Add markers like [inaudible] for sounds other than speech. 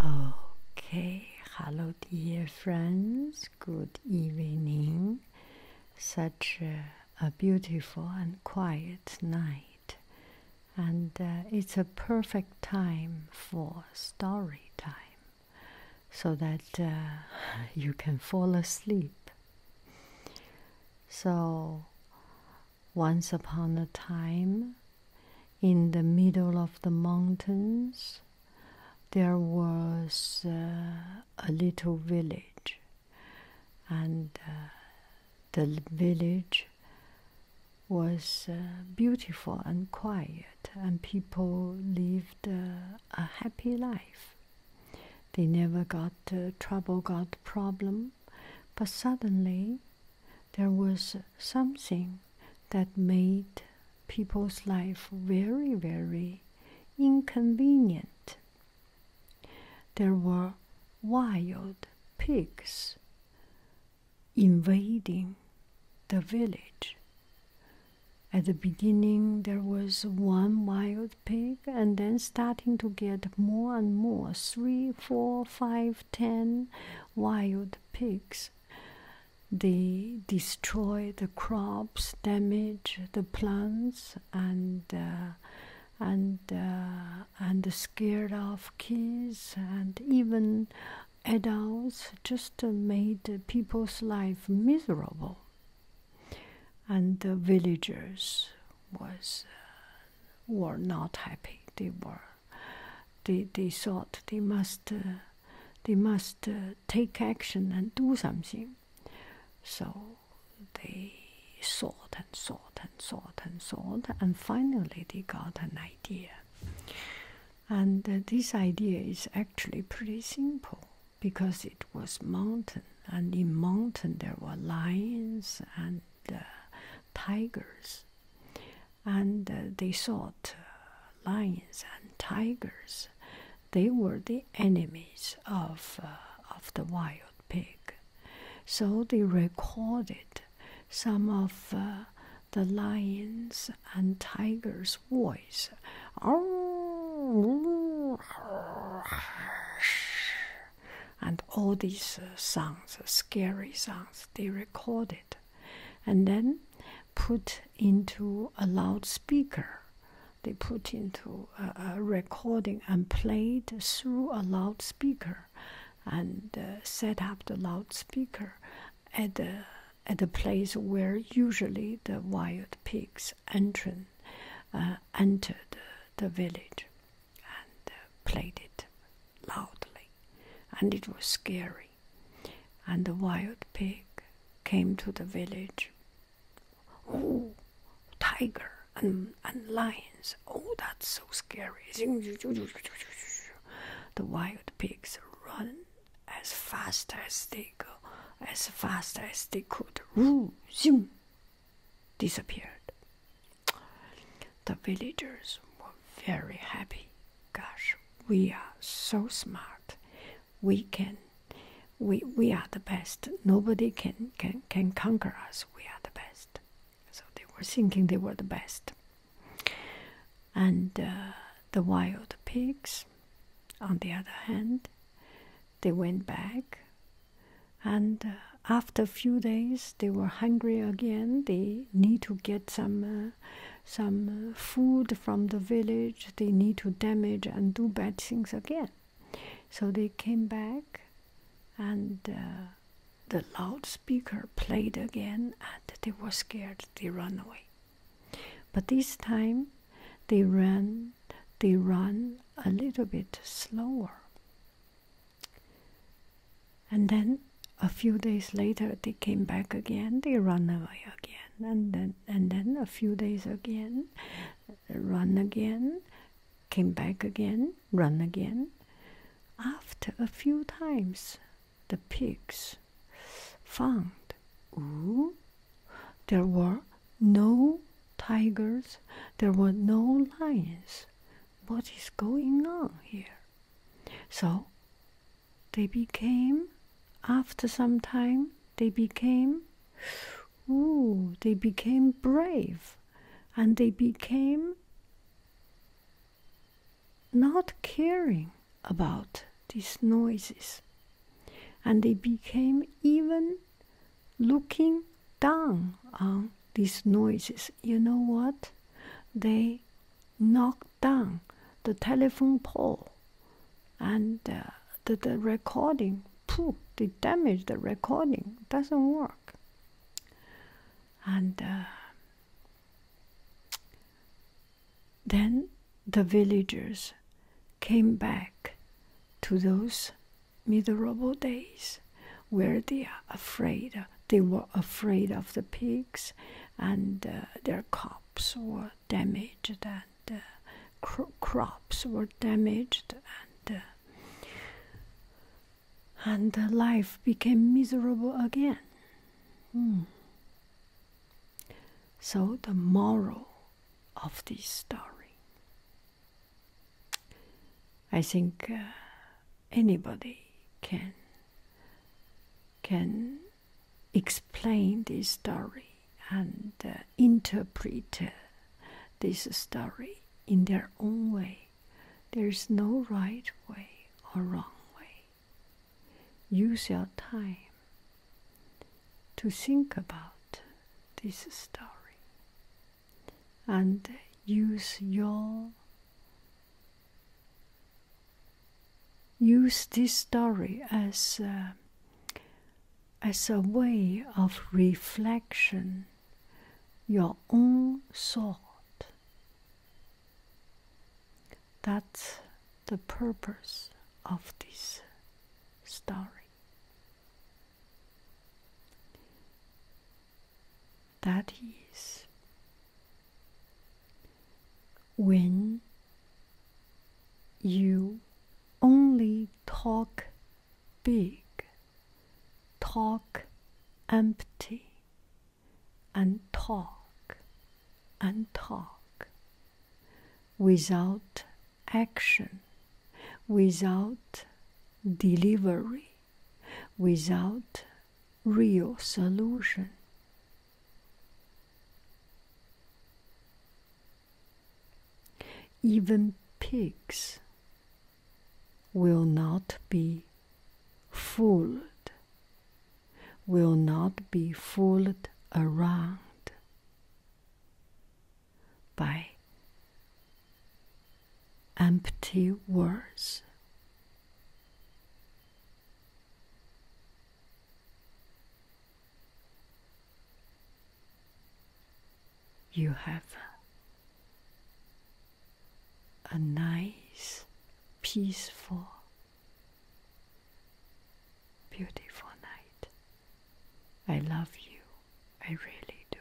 Okay, hello, dear friends. Good evening. Such a, beautiful and quiet night, and uh, it's a perfect time for story time so that uh, [laughs] you can fall asleep. So, once upon a time, in the middle of the mountains, there was uh, a little village, and uh, the village was uh, beautiful and quiet, and people lived a happy life. They never got trouble, got problem, but suddenly there was something that made people's life very, very inconvenient. There were wild pigs invading the village. At the beginning, there was one wild pig, and then starting to get more and more three, four, five, 10 wild pigs. They destroy the crops, damage the plants, and uh, and uh, and scared off kids and even adults. Just made people's life miserable. And the villagers was uh, were not happy. They were, they they thought they must, they must take action and do something. So they thought and thought and thought and thought, and finally they got an idea. And this idea is actually pretty simple because it was mountain, and in mountain there were lions and the tigers, and they thought lions and tigers they were the enemies of of the wild pig, so they recorded some of the lions and tigers' voice. And all these uh, sounds, uh, scary sounds, they recorded and then put into a loudspeaker. They put into a, recording and played through a loudspeaker and uh, set up the loudspeaker at the, at the place where usually the wild pigs enter entered the village and uh, played it loudly, and it was scary. And the wild pig came to the village. Oh, tiger and, and lions! Oh, that's so scary! The wild pigs run as fast as they go, as fast as they could zoom, disappeared. The villagers were very happy. Gosh, we are so smart. We can we we are the best. Nobody can can can conquer us. We are the best. So they were thinking they were the best. And uh, the wild pigs, on the other hand, they went back. And uh, after a few days, they were hungry again. They need to get some, uh, some uh, food from the village. They need to damage and do bad things again. So they came back, and the loudspeaker played again, and they were scared. They run away. But this time they ran they run a little bit slower. And then a few days later they came back again, they run away again, and then and then a few days again, run again, came back again, run again. After a few times the pigs found. Ooh, there were no tigers, there were no lions. What is going on here? So they became, after some time, they became, ooh, they became brave and they became not caring about these noises. And they became even looking down on these noises. You know what? They knocked down the telephone pole and uh, the, the recording. Pooh! they damaged the recording. Doesn't work. And uh, then the villagers came back to those miserable days where they are afraid they were afraid of the pigs and uh, their crops were damaged and uh, crops were damaged and uh, and life became miserable again hmm. So, the moral of this story I think uh, anybody can can explain this story and uh, interpret uh, this story in their own way. There is no right way or wrong way use your time to think about this story and use your use this story as as a way of reflection your own thought that's the purpose of this story. That is when you only talk big, talk empty, and talk and talk without action, without delivery, without real solution. Even pigs will not be fooled, will not be fooled around by empty words you have a nice, peaceful, beautiful night. I love you. I really do.